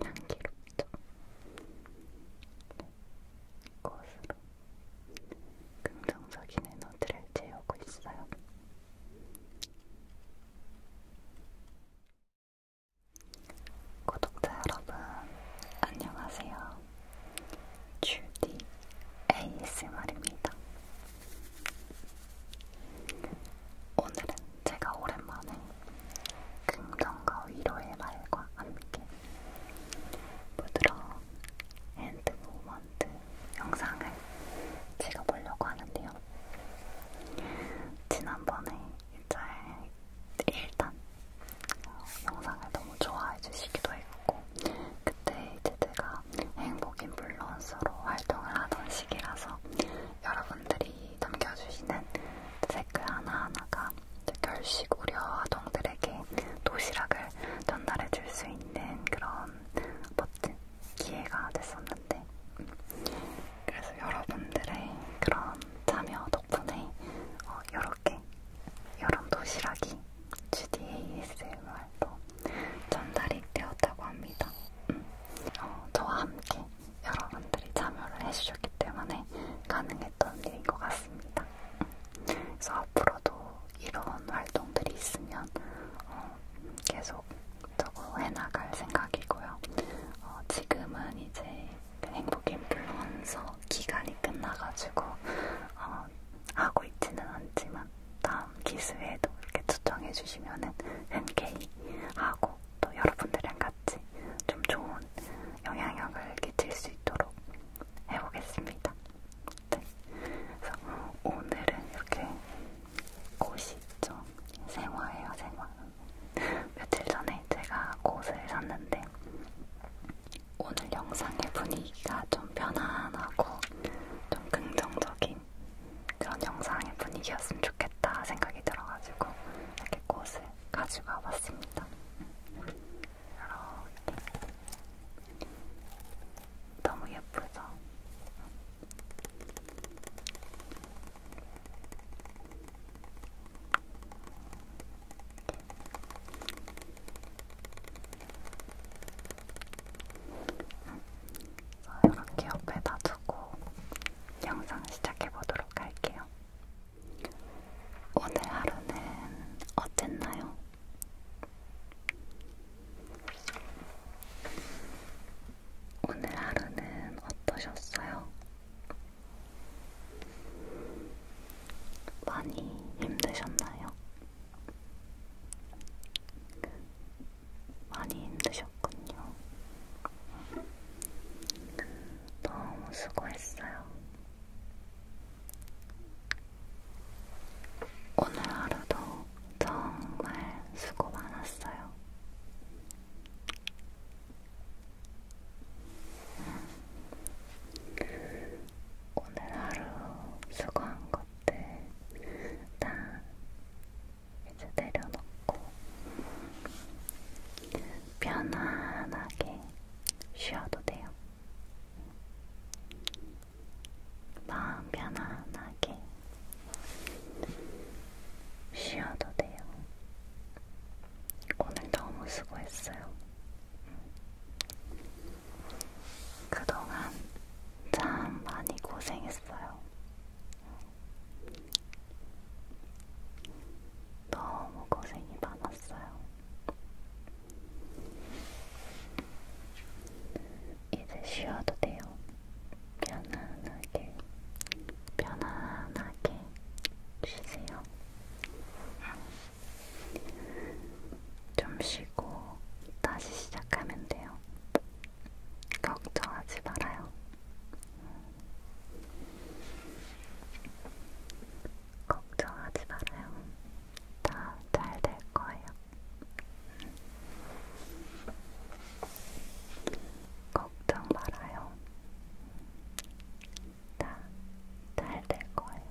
향기롭죠? 꽃으로 긍정적인 에너지를 채우고 있어요. 구독자 여러분, 안녕하세요. 주디 ASMR입니다. 오늘은 제가 오랜만에 긍정과 위로의 말과 함께 부드러운 핸드 모먼트 영상을 찍어보려고 하는데요. 지난번에 이제 일단 어, 영상을 너무 좋아해 주시기도 했고 그때 이제 제가 행복인 블루언서로 활동을 하던 시기라서 여러분들이 남겨주시는 댓글 하나하나가 결식 우려 아동들에게 도시락을 전달해줄 수 있는 그런 멋진 기회가 됐었는데 그래서 여러분들의 그런 참여 덕분에 어, 이렇게 여름 도시락이 GDASMR로 전달이 되었다고 합니다. 음. 어, 저와 함께 여러분들이 참여를 해주셨기 때문에 가능했던 일인 것 같습니다. 그래서 앞으로도 이런 활동들이 있으면 어, 계속 저거 해나갈 생각이고요. 어, 지금은 이제 행복인플루언서 기간이 끝나가지고 어, 하고 있지는 않지만 다음 기수에도 이렇게 추천해주시면은 흔쾌히 하고 또 여러분들이랑 같이 좀 좋은 영향력을 끼칠 수 있도록 해보겠습니다. 네. 그래서 오늘은 이렇게 꽃이 있죠. 생화예요, 생화. 며칠 전에 제가 꽃을 샀는데 오늘 영상의 분위기가 좀 편안하고 좀 긍정적인 그런 영상의 분위기였으면 좋겠다 생각이 들어가지고 이렇게 꽃을 가지고 와봤습니다. 이렇게 너무 예쁘죠? 이렇게 옆에다 두고 영상 시작해 보도록 할게요. 오늘 하루는 어땠나요? 오늘 하루는 어떠셨어요? 많이 힘드셨나요? 많이 힘드셨군요. 너무 수고했어요. 오늘 하루도 정말 수고 많았어요. 오늘 하루 수고한 것들 다 이제 내려놓고 편안하게 쉬어도 돼요. 마음 편안하게 쉬어도 돼요. 오늘 너무 수고했어요. 그동안 참 많이 고생했어요. 너무 고생이 많았어요. 이제 쉬어도 돼요. 편안하게, 편안하게 쉬세요. 좀 쉬고 다시 시작하면 돼요. 걱정하지 말아요. 걱정하지 말아요. 다 잘 될 거예요. 걱정 말아요. 다 잘 될 거예요.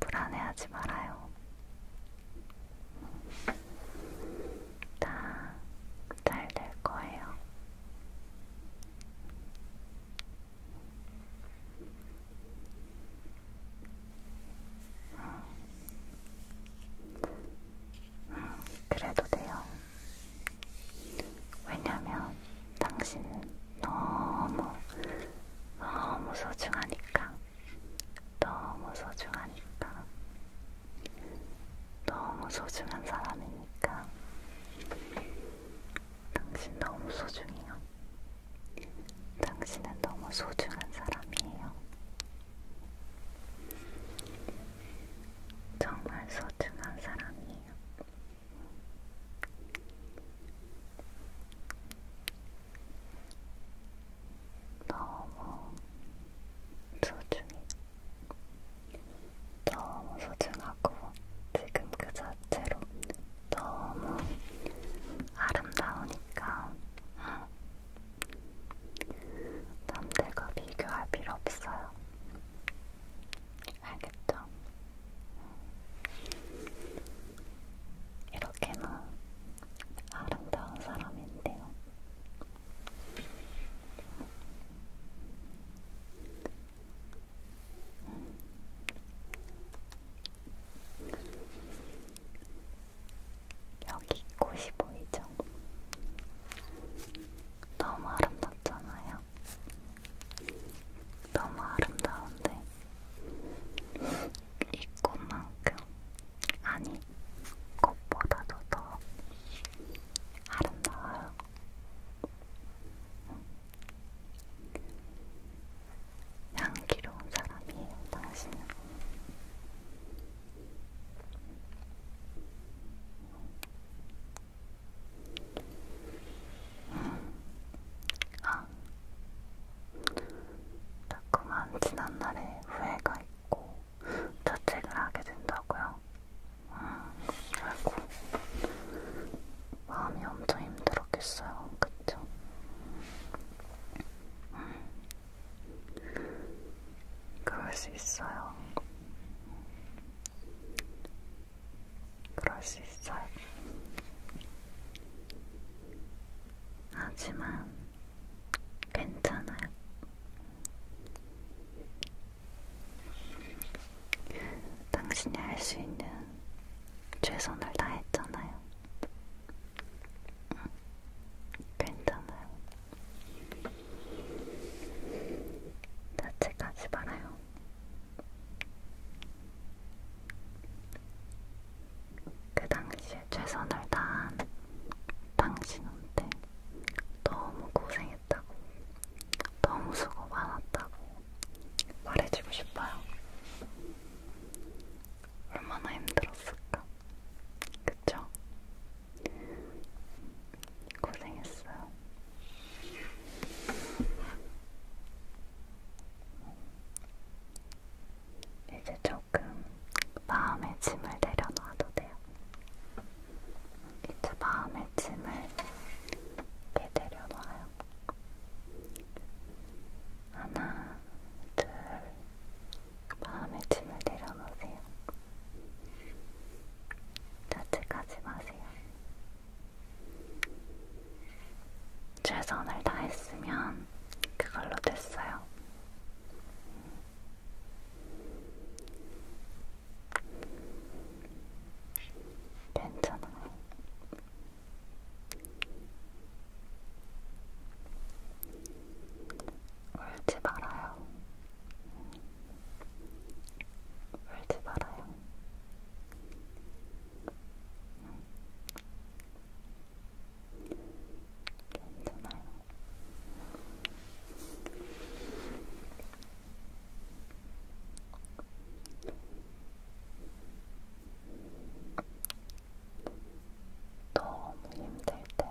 불안해하지 말아요. 다잘될 거예요. 음, 그래도 돼요. 왜냐면 당신은 너무 너무 소중하니까 너무 소중하니까 너무 소중한 사람이니까 당신 너무 소중해요. 당신은 너무 소중한 사람이에요. 정말 소중한 사람이에요. 너무 소중해. 너무 소중하고 지금 그 자체로 너무 아름다우니까 남들과 비교할 필요 없어요. 알겠죠? 이렇게나 아름다운 사람인데요. 여기 꽃이 보이죠? 너무 아름답잖아요. 너무 아름다운데 이 꽃만큼 아니 꽃보다도 더 아름다워요. 향기로운 사람이에요, 당신은. 음. 아, 자꾸만 지난 날에 후회가 있고 자책을 하게 된다고요? 아이고 마음이 엄청 힘들었겠어요, 그쵸? 그럴 수 있어요. 그럴 수 있어요. 하지만 괜찮아요. 당신이 할 수 있는 최선을 다했잖아요. 응. 괜찮아요. 자책하지 말아요. 그 당시에 최선을 다한 당신한테 너무 고생했어요. 고생했다고, 너무 수고 많았다고 말해주고 싶어요. 얼마나 힘들었을까? 그쵸? 고생했어요. 이제 조금 마음의 짐을 내려놔도 돼요. 이제 마음의 짐을 이렇게 내려놔요. 하나, 둘, 마음의 짐을 내려놓으세요. 자책하지 마세요. 최선을 다했으면 그걸로 됐어요. 괜찮아요. 울지 말아요. 울지 말아요. 괜찮아요. 너무 힘들 때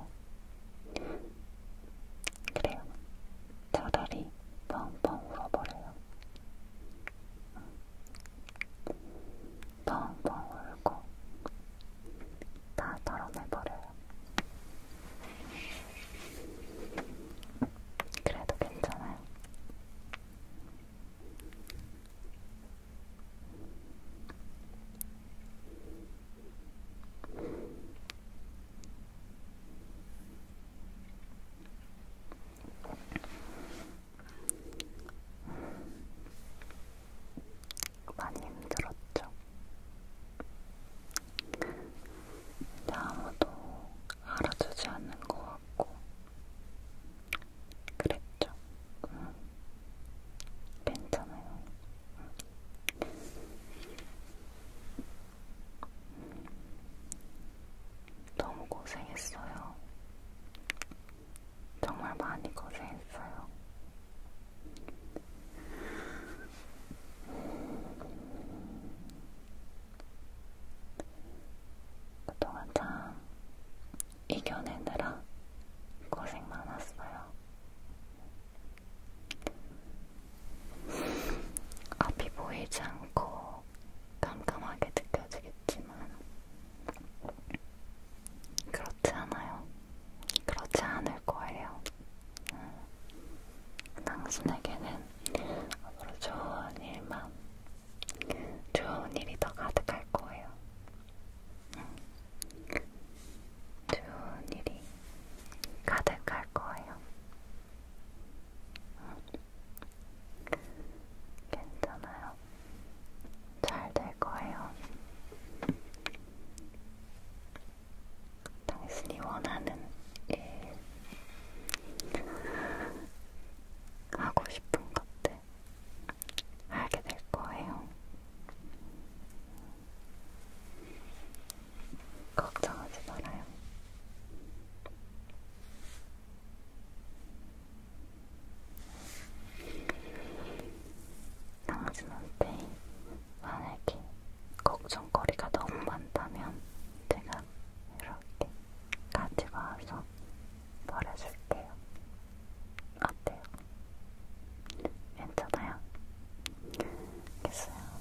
그래요. 차라리 펑펑 울어버려요. 펑펑 울고 다 털어내버려요. 그래도 괜찮아요. 많이 힘들었죠. 근데 아무도 알아주지 않는 것 같고 그랬죠. 응. 음. 괜찮아요. 응. 음. 너무 고생했어요. 정말 많이 고생했어요. 그동안 참 이겨내느라 고생 많았어요. 앞이 보이지 않고 깜깜하게 느껴지겠지만 그렇지 않아요. 그렇지 않을 거예요. 당신에게는 앞으로 좋은 일만, 좋은 일이 더 가득할 거예요. 응. 좋은 일이 가득할 거예요. 응. 괜찮아요. 잘 될 거예요. 당신이 원하는 일, 하고 싶은 것들 하게 될 거예요. 걱정하지 말아요. 당신한테 만약에 걱정거리가 너무 많다면 제가 이렇게 가지고 와서 버려줄게요. 어때요? 괜찮아요? 알겠어요.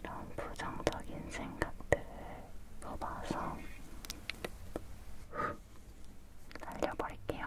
이런 부정적인 생각들을 뽑아서 날려버릴게요.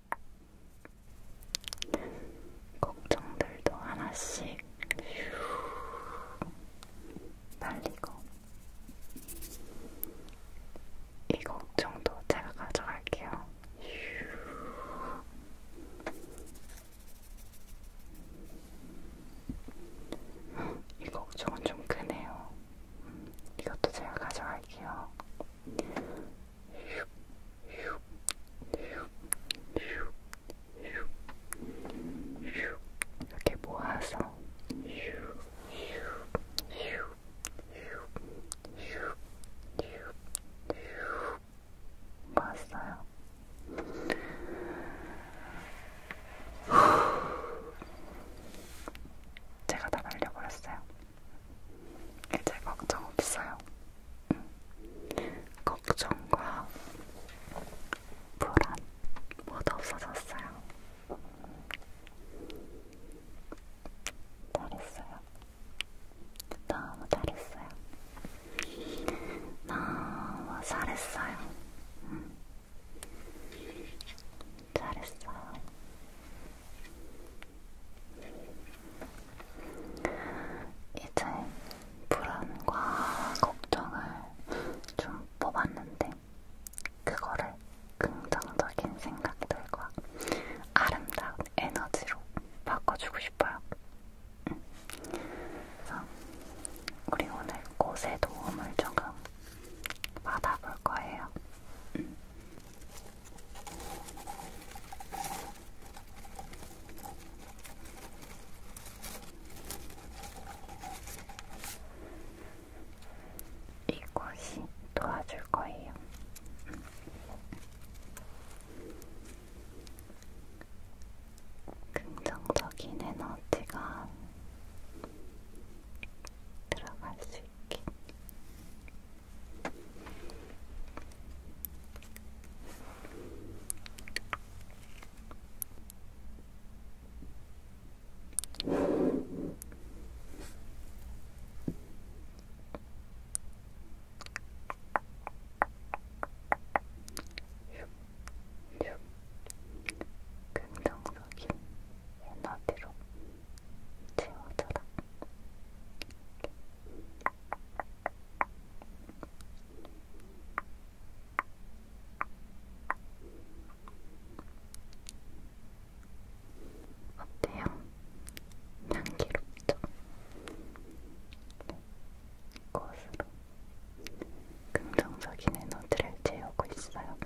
걱정들도 하나씩 휴 날리고 이 걱정도 제가 가져갈게요. 휴이 걱정은 좀 크네요. 음, 이것도 제가 가져갈게요. 이렇게 모아서 모았어요. 제가 다 날려버렸어요. 이제 걱정 없어요. 응. 걱정과 불안 모두 없어졌어요. 잘했어요. 너무 잘했어요. 너무 잘했어요. 응. 잘했어요. 이제 불안과 걱정을 좀 뽑았는데 그거를 긍정적인 생각들과 아름다운 에너지로 바꿔주고 싶어요. 응. 음. 그래서 우리 오늘 꽃의 도움을 조금 받아볼 거예요. 응. 이곳이 도와줄 거예요. 긍정적인 에너지가 들어갈 수 있게 긍정적인 에너지로 채워줘라. 어때요? 향기롭죠? 꽃으로 긍정적인 에너지를 채우고 있어요.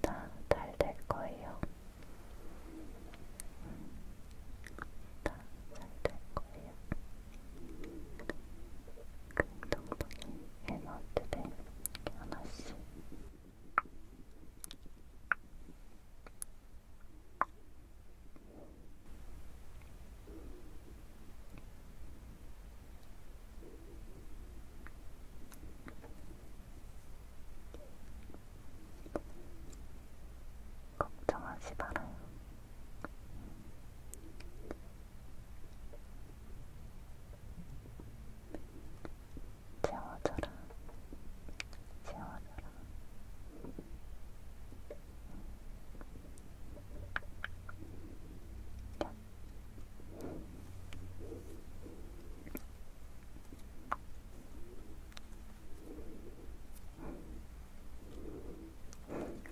다잘될 거예요. 다잘될 거예요. 긍정적인 에너지를 하나씩 걱정하지 말아요. 채워줘라, 채워줘라.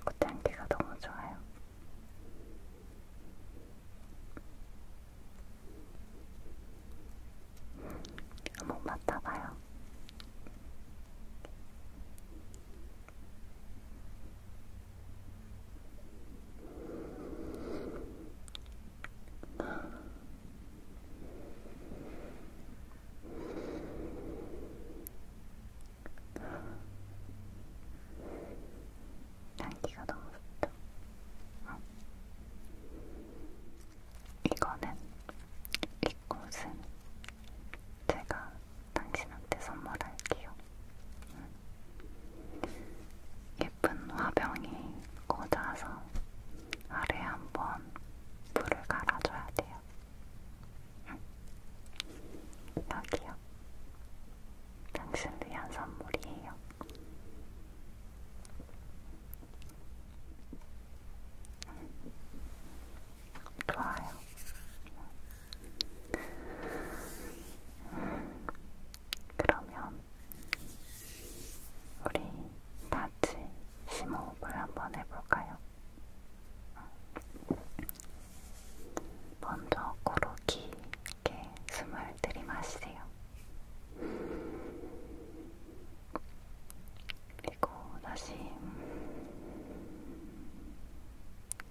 꽃향기가 너무 좋아요. 한번 맡아봐요. 날씨가 너무 좋죠? 어. 이거는 이 꽃은 제가 당신한테 선물할게요. 응. 예쁜 화병이 꽂아서 아래 한번 물을 갈아줘야 돼요. 응. 여기요. 당신을 위한 선물이에요. 응. 좋아요. 그러면 우리 다치 심호흡을 한번 해볼까요? 먼저 코로 길게 숨을 들이마시세요. 그리고 다시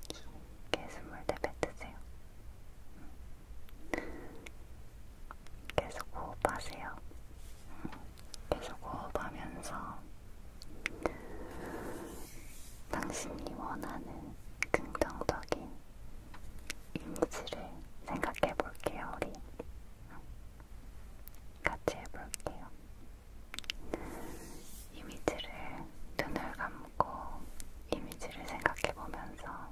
깊게 숨을 내뱉으세요. 계속 호흡하세요. 음. 계속 호흡하면서 당신이 원하는 긍정적인 이미지를 생각해 볼게요, 우리. 음. 같이 해볼게요. 이미지를 눈을 감고 담고 이미지를 생각해 보면서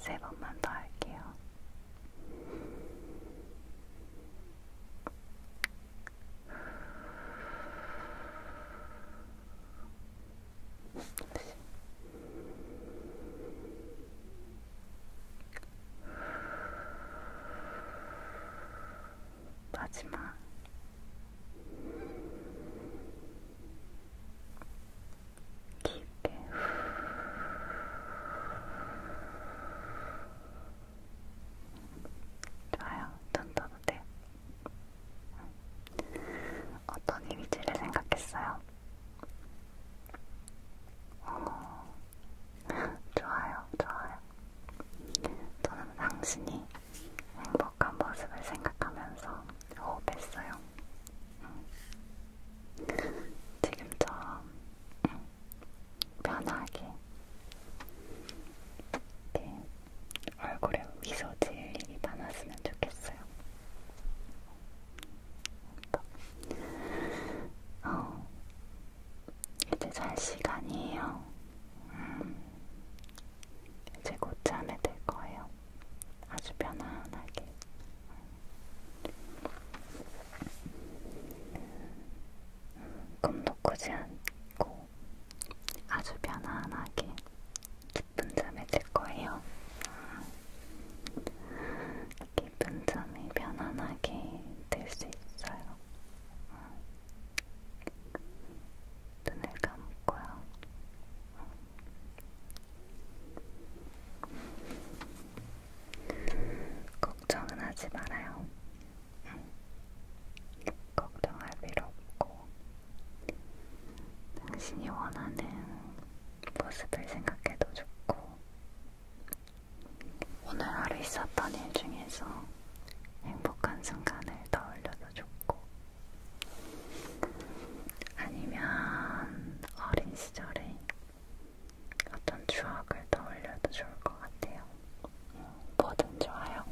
세 번만 더 할게요. 마지막 깊게 좋아요. 눈 떠도 돼요. 어떤 이미지를 생각했어요? 어, 좋아요, 좋아요. 저는 당신이 행복한 모습을 생각하면서 호흡했어요. 음. 지금처럼 응. 음, 편하게 이렇게 얼굴에 미소 질이 많았으면 좋겠어요. 어, 이제 잘 시간이에요. 음, 이제 곧 잠에 들 거예요. 아주 편안하게. 꿈도 꾸지 않고 아주 편안하게 깊은 잠에 들 거예요. 깊은 잠에 편안하게 들 수 있어요. 눈을 감고요. 걱정은 하지 말아요. 응. 걱정할 필요 없고, 당신이 원하는 모습을 생각해도 좋고, 오늘 하루 있었던 일 중에서 행복한 순간을 떠올려도 좋고, 아니면 어린 시절에 어떤 추억을 떠올려도 좋을 것 같아요. 뭐든 좋아요.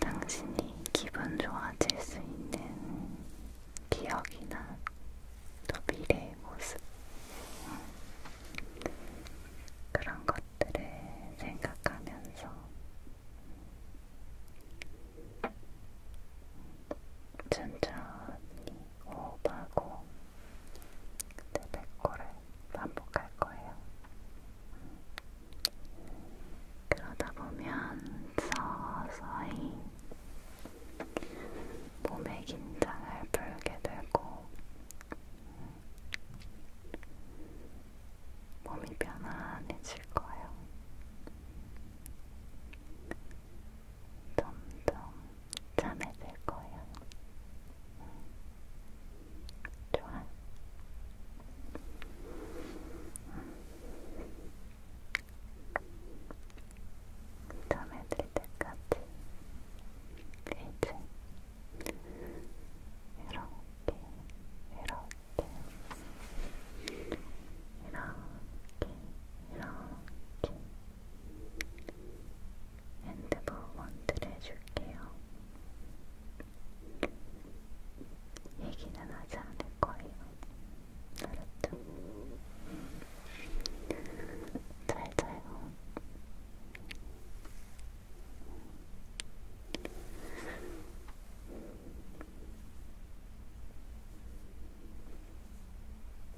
당신이 기분 좋아질 수 있는 기억이나 또 미래의 모습 그런 것들을 생각하면서 천천히 호흡하고 그때 100호를 반복할 거예요. 그러다 보면 서서히 몸의 긴장을 풀게 되고 몸이 편안해질 거예요. 점점 참해질 거야. 응. 좋아. 참해질 때까지 이제 이렇게 이렇게 이렇게 이렇게 핸드볼 원트를 해줄게요. 얘기는 하지 않을 거예요. 알았죠? 음. 잘 자요.